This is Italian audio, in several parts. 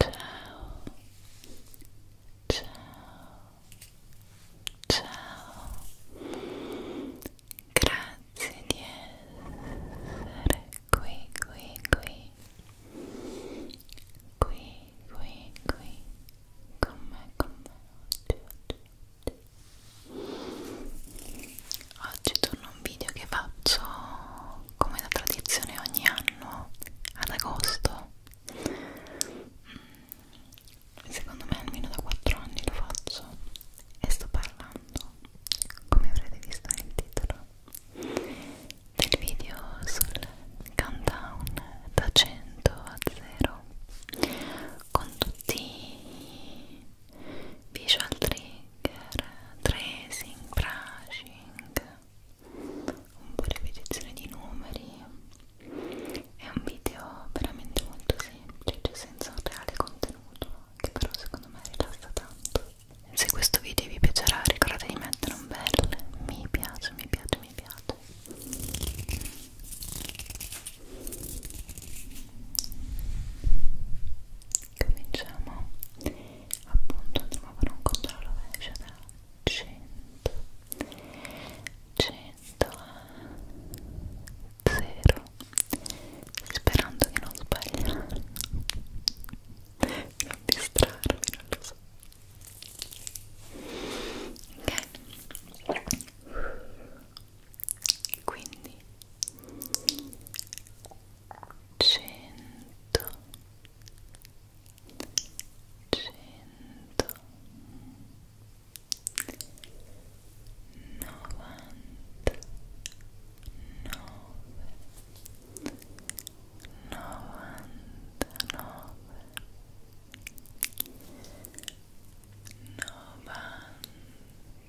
Ciao. Ciao. Ciao. Grazie di essere qui, qui, qui. Qui, qui, qui. Con me, con Oggi torno a un video che faccio come da tradizione ogni anno ad agosto. Mm. Secondo me almeno da 4 anni lo faccio e sto parlando, come avrete visto nel titolo, del video sul countdown da 100 a 0 con tutti visual trigger, tracing, brushing, un po' ripetizione di numeri. È un video veramente molto semplice, senza un reale contenuto, che però secondo me rilassa tanto. Se questo video vi piacerà ricordate di mettere un bel mi piace, mi piace, mi piace cominciamo appunto andremo a fare un controllo veloce da 100 100 a 0 sperando che non sbagli non distrarmi non lo so ok quindi cento cento novanta nove novantanove novantanove 97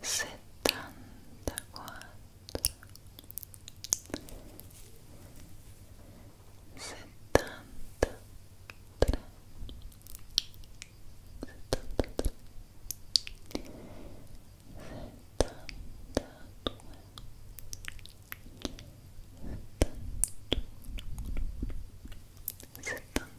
settantaquattro settantatré settantatré settantadue settantuno settantuno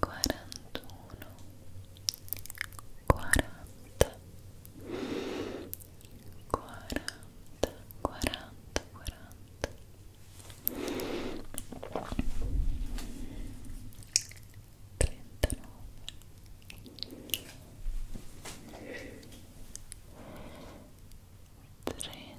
quarantuno, quaranta, quaranta, quaranta, quaranta. Trentanove, trenta,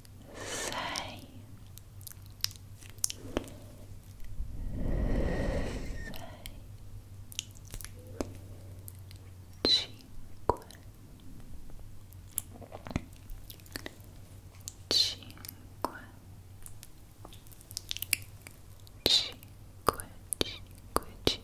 sai cinque cinque cinque cinque cinque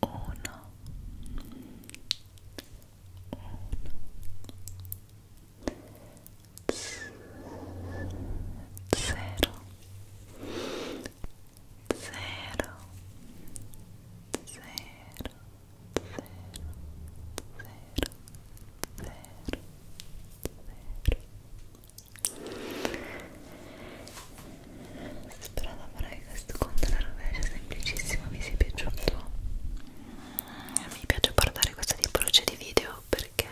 uno, uno, cero, cero, cero, cero, cero, cero, cero, spero di avere questo conto alla rovescia semplicissimo vi sia piaciuto mi piace portare questa tipologia di video perché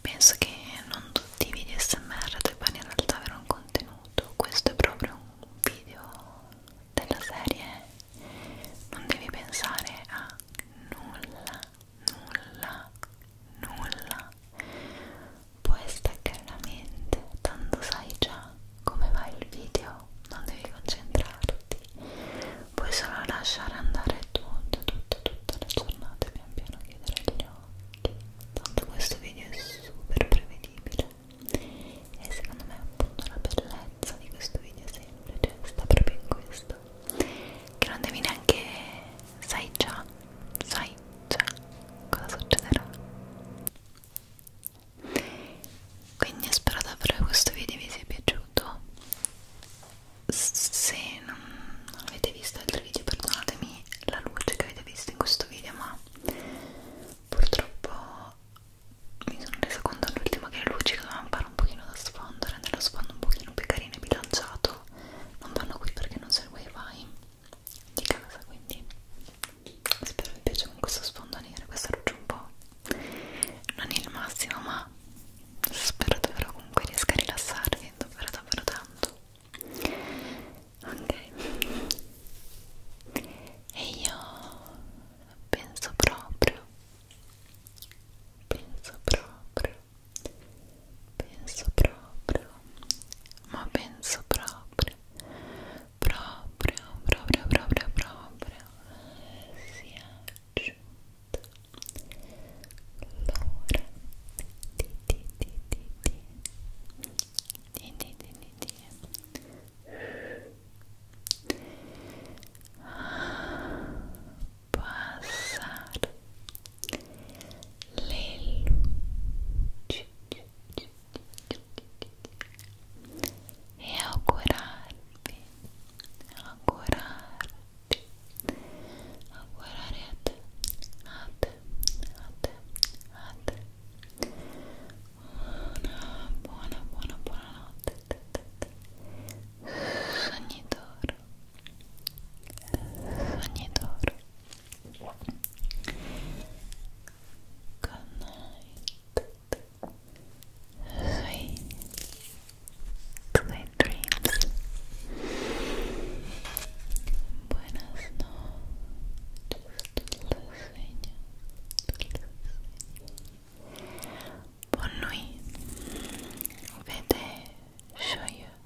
penso che non tutti i video smr debbano in realtà avere un contenuto questo è proprio un video della serie non devi pensare a nulla nulla, nulla può staccare la mente, tanto sai già come va il video, non devi concentrarti, puoi solo lasciare andare tutto, tutto, tutta la giornata, pian piano chiudere gli occhi, tanto questo video è super prevedibile e secondo me appunto la bellezza di questo video semplice cioè, sta proprio in questo che non devi neanche sai già, sai già cosa succederà. Quindi spero davvero questo video vi sia piaciuto. Se non avete visto altri video, perdonatemi la luce che avete visto in questo video, ma purtroppo mi sono resa conto all'ultimo che le luci dovevano fare un pochino da sfondo, rendere lo sfondo un pochino più carino e bilanciato non vanno qui perché non c'è il wifi di casa quindi spero vi piace con questo sfondo nero questo rugge un po' non il massimo ma spero davvero comunque riesca a rilassarvi davvero davvero tanto ok e io penso proprio penso proprio penso proprio ma penso proprio proprio proprio proprio proprio sia giunta l'ora di di di di di di di di di ah, pasar le luci e augurarvi, augurarti, augurare a te, a te, a te, a te una buona, buona, buona notte sognitore sognatore good night sweet dreams buenas noches dulce sueño dulce sueño Buon